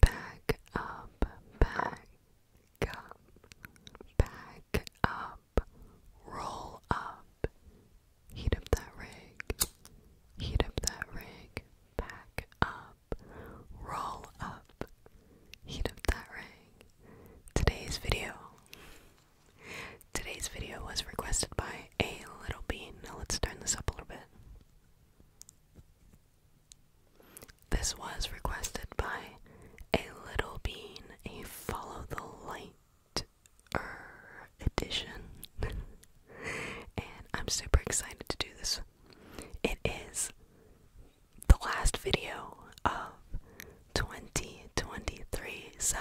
Back up, back up, back up, roll up, heat up that rig, heat up that rig, back up, roll up, heat up that rig. Today's video. Today's video was requested by a little bean. Now let's turn this up a little bit. This was requested by a little bean, a follow the light edition. and I'm super excited to do this. It is the last video of 2023, so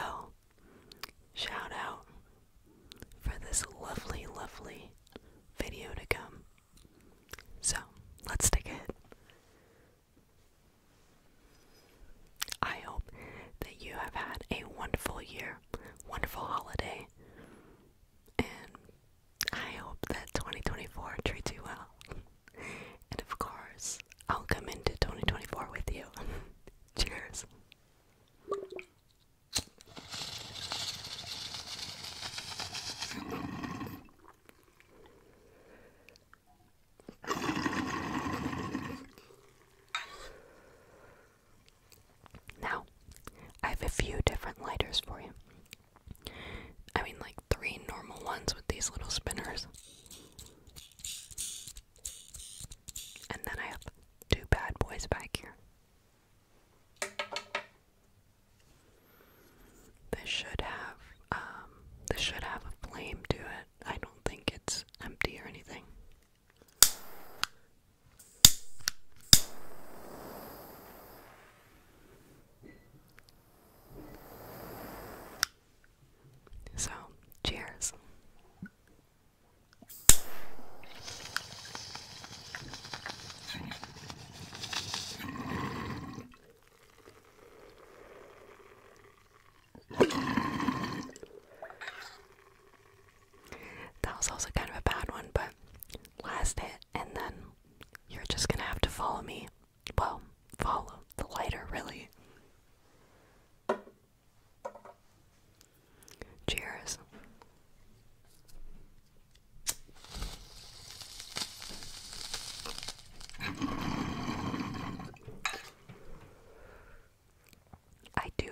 shout out for this lovely, lovely video to come. So, let's take it. I hope that you have had a wonderful year, wonderful holiday, and I hope that 2024 treats you well. And of course, I'll come into 2024 with you. Cheers. Now, I have a few different lighters for you. I mean, like three normal ones with these little spinners. And then I have two bad boys back here. This should have um this should have a flame to it. I don't think it's empty or anything. So, cheers. That was also kind of a bad one, but last hit, and then you're just gonna have to follow me. Well, follow the lighter, really. Cheers. I do,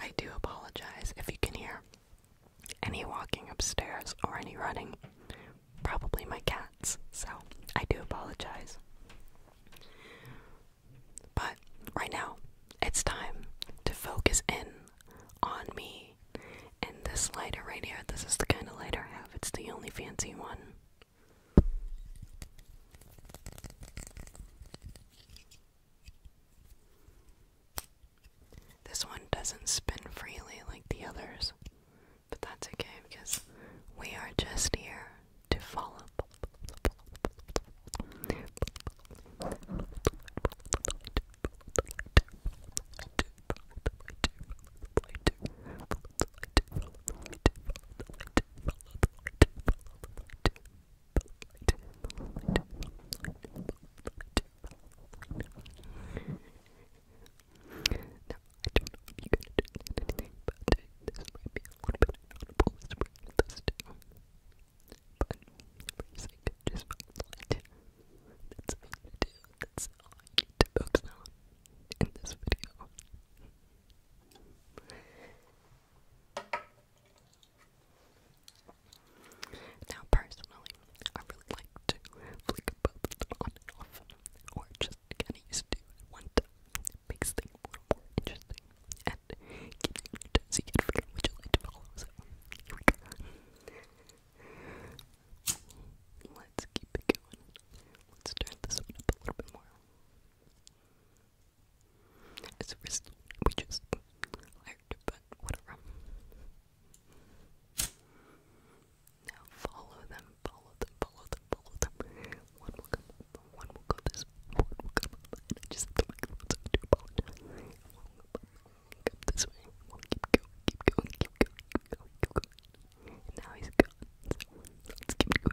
I do apologize if you can hear any walking upstairs or any running. Probably my cats, so I do apologize. But right now, it's time to focus in on me and this lighter right here, this is the kind of lighter I have. It's the only fancy one. This one doesn't spin freely like the others, but that's okay because we are just here to follow. I don't know if you can do anything about it. This might be a little bit of an audible spring. Let's do. But for I could just find That's all I do. That's all I need to focus on in this video. Now, personally, I really like to flick both on and off, or just kind of used to at one time. It makes things a little more interesting and keeps you new times so you can figure out what you like to follow. So, here we go. Let's keep it going. Let's turn this one up a little bit more. It's we just learned, but whatever. Now follow them, follow them, follow them, follow them. One will come one will go this one will come I just have the microphone, so do apologize. Up this way. Keep going, keep going, keep going, keep going, keep going. And now he's gone. So let's keep going.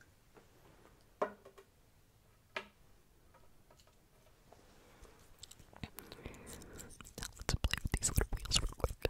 Now let's play with these little wheels real quick.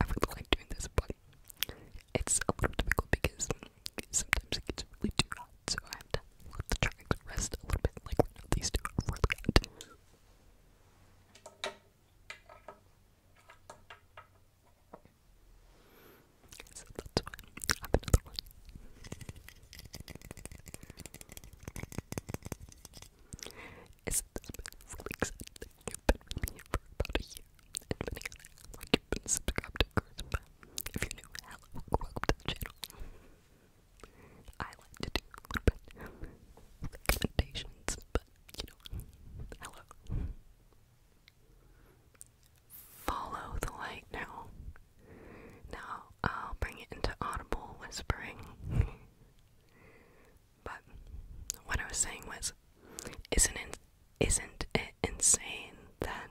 I really like doing this, but it's a little difficult because sometimes it gets really too hot, so I have to let the tracks rest a little bit, like right now these two are really hot. So another one is this been really You've been with me for about a year, and many others, like you've been subscribed to Charisma. If you're new, hello, welcome to the channel. I like to do little bit recommendations, but you know, hello. Follow the light now. Now I'll bring it into audible whispering. But what I was saying was, isn't it, isn't it insane that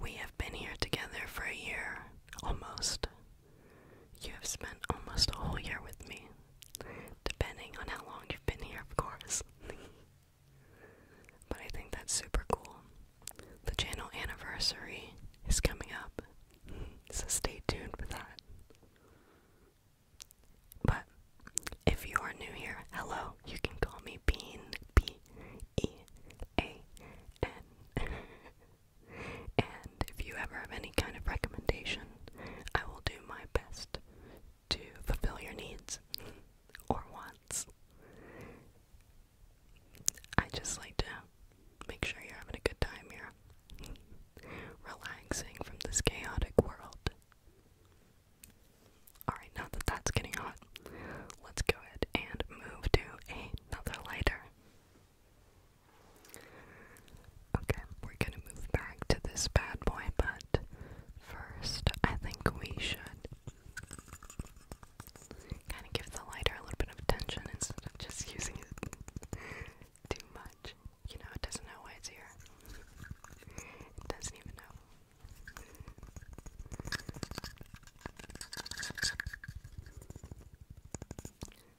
we have been here together for a year almost? You have spent almost a whole year with me, depending on how long you've been here, of course. but I think that's super cool. The channel anniversary is coming up, so stay tuned for that. But if you are new here, hello, you can call me Bean, B E A N. and if you ever have any kind of recommendation, I will do my best to fulfill your needs or wants. I just like to Make sure you're having a good time here. Relaxing from this chaotic world. Alright, now that that's getting hot, let's go ahead and move to another lighter. Okay, we're gonna move back to this bad boy, but first I think we should kind of give the lighter a little bit of attention instead of just using it too much. You know, it doesn't know why it's here. doesn't even know.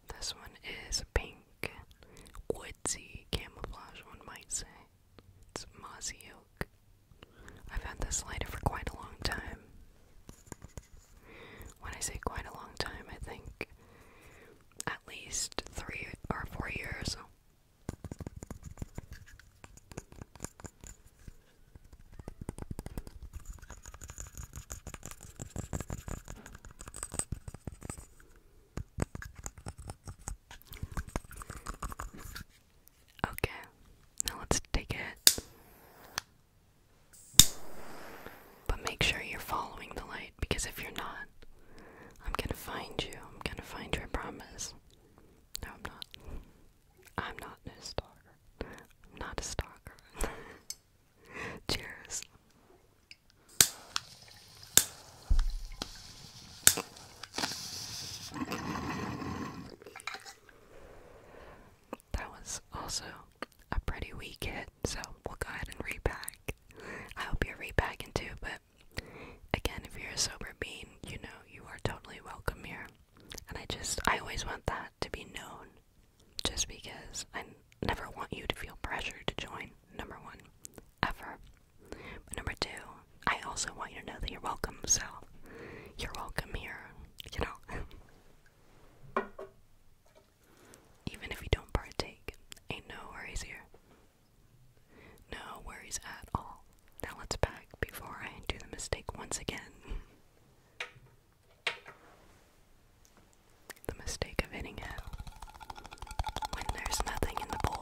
This one is pink, woodsy camouflage, one might say. It's mossy oak. I've had this lighter for quite a long time. When I say quite a long time, I think at least three or four years. Okay, now let's take it but make sure you're following the light because if you're not, I'm gonna find you. I'm gonna find you, I promise. No, I'm not. I'm not a stalker. not a stalker. Cheers. That was also a pretty weak hit, so we'll go ahead and repack. I hope you're repacking too, but again, if you're a sober bean, you know you are totally welcome here. And I just, I always want that to be known, just because I never want you to feel pressure to join, number one, ever. But number two, I also want you to know that you're welcome, so you're welcome here, you know. Even if you don't partake, ain't no worries here. No worries at all. Now let's pack before I do the mistake once again. The mistake of hitting it when there's nothing in the bowl.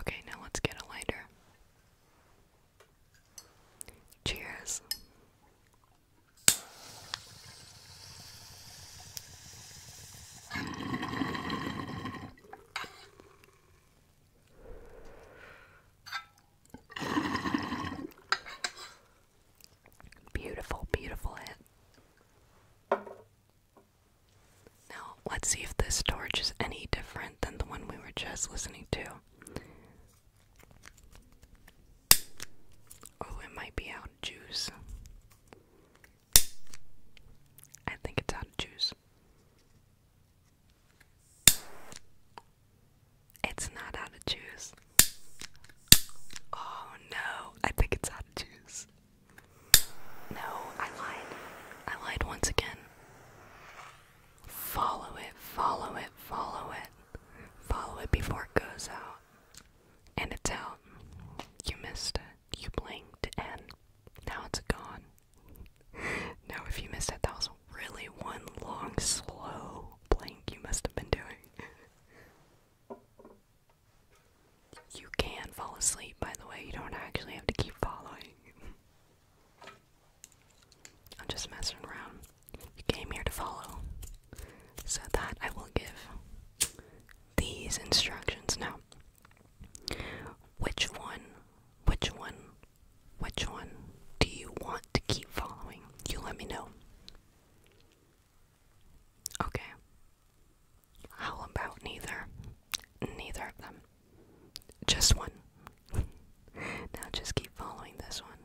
Okay, now let's get a lighter. Cheers. Beautiful, beautiful hit. Now, let's see if this torch is any different than the one we were just listening to. Oh, it might be out of juice. I think it's out of juice. It's not how to choose. Oh no, I think it's how to choose. No, I lied. I lied once again. Follow it, follow it, follow it. Follow it before it goes out. And it's out. You missed it. You blinked, now it's gone. now, if you missed it, that was really one long, slow blink you must have been doing. You can fall asleep, by the way, you don't actually have to keep following. I'm just messing around. You came here to follow. So that I will give these instructions now. Which one, which one, which one do you want to keep following? You let me know. Okay. How about neither? Neither of them. Just one. now just keep following this one.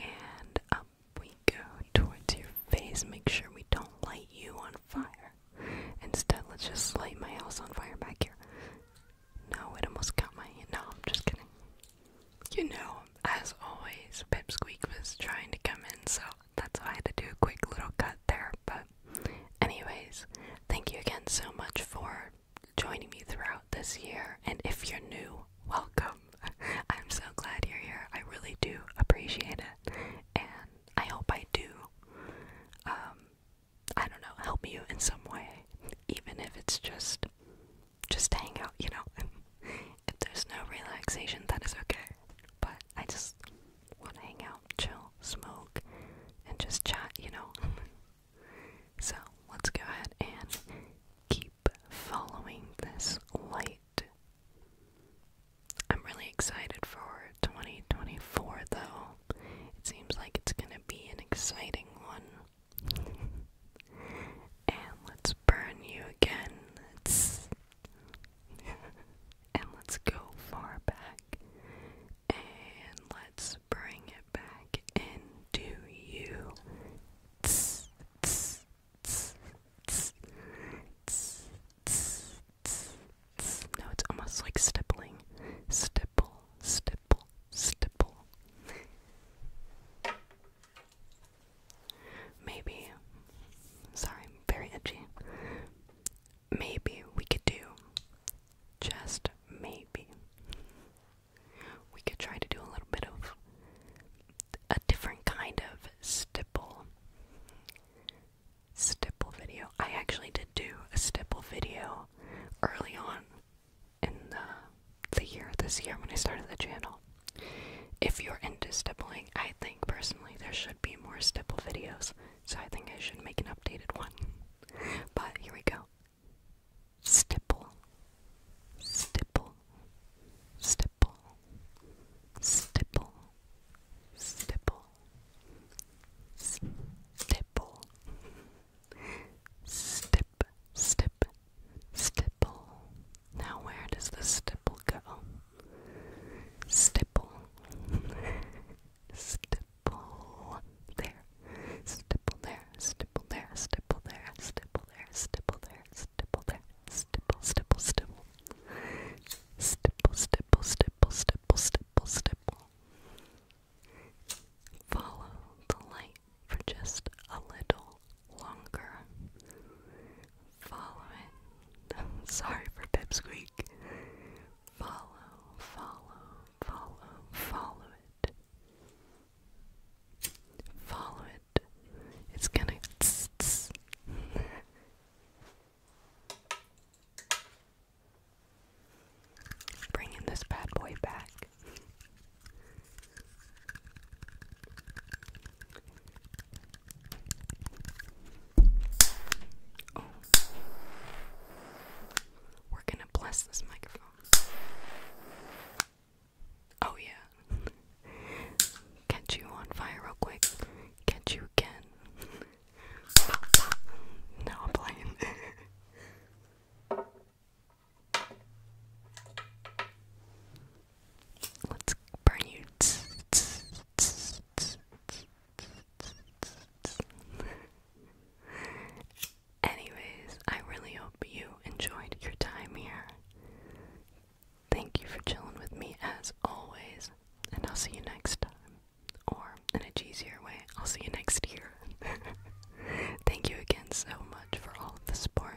And up we go towards your face. Make sure we don't light you on fire. Instead, let's just light my house on fire back here. No, it almost got my hand. No, I'm just kidding. You know, as always, Pipsqueak was trying to come in, so that's why I had to do a quick little cut there. But, anyways, thank you again so much for joining me throughout this year. And if you're new, welcome. I'm so glad you're here. I really do appreciate it. And I hope I do, um, I don't know, help you in some way, even if it's just just hang out, you know. And there's no relaxation, that is okay. But I just want to hang out, chill, smoke, and just chat, you know. so let's go ahead and keep following this light. I'm really excited for 2024 though. It seems like it's gonna be an exciting one and let's burn you again. and let's go far back. And let's bring it back into you. No, it's almost like stippling. Stipple, stipple, stipple. Maybe, sorry, very itchy. Maybe we could do, just maybe, we could try to do a little bit of a different kind of stipple. Stipple video. I actually did do a stipple video early on in the, the year this year when I started the channel. If you're into stippling, I think personally there should be more stipple videos, so I think I should make an updated one. But here we go. Stipple, stipple, stipple, stipple, stipple, stipple, stip, stip, stipple. Now where does the stipple go? Stipple. stipple there. Stipple there. Stipple there. Stipple there. Stipple there. Stipple there. Stipple there. stipple. Stipple, stipple, stipple, stipple, stipple, stipple. Follow the light for just a little longer. Follow it. Sorry for pipsqueak. Follow, follow, follow, follow it. Follow it. It's gonna. Tss, tss. Bringing this bad boy back. Oh. We're gonna bless this microphone. Oh, yeah. Catch you on fire real quick. Catch you again. no, I'm playing. Let's burn you. Anyways, I really hope you enjoyed your time here. Thank you for chilling with me as always, and I'll see you next time. Or, in a cheesier way, I'll see you next year. Thank you again so much for all of the support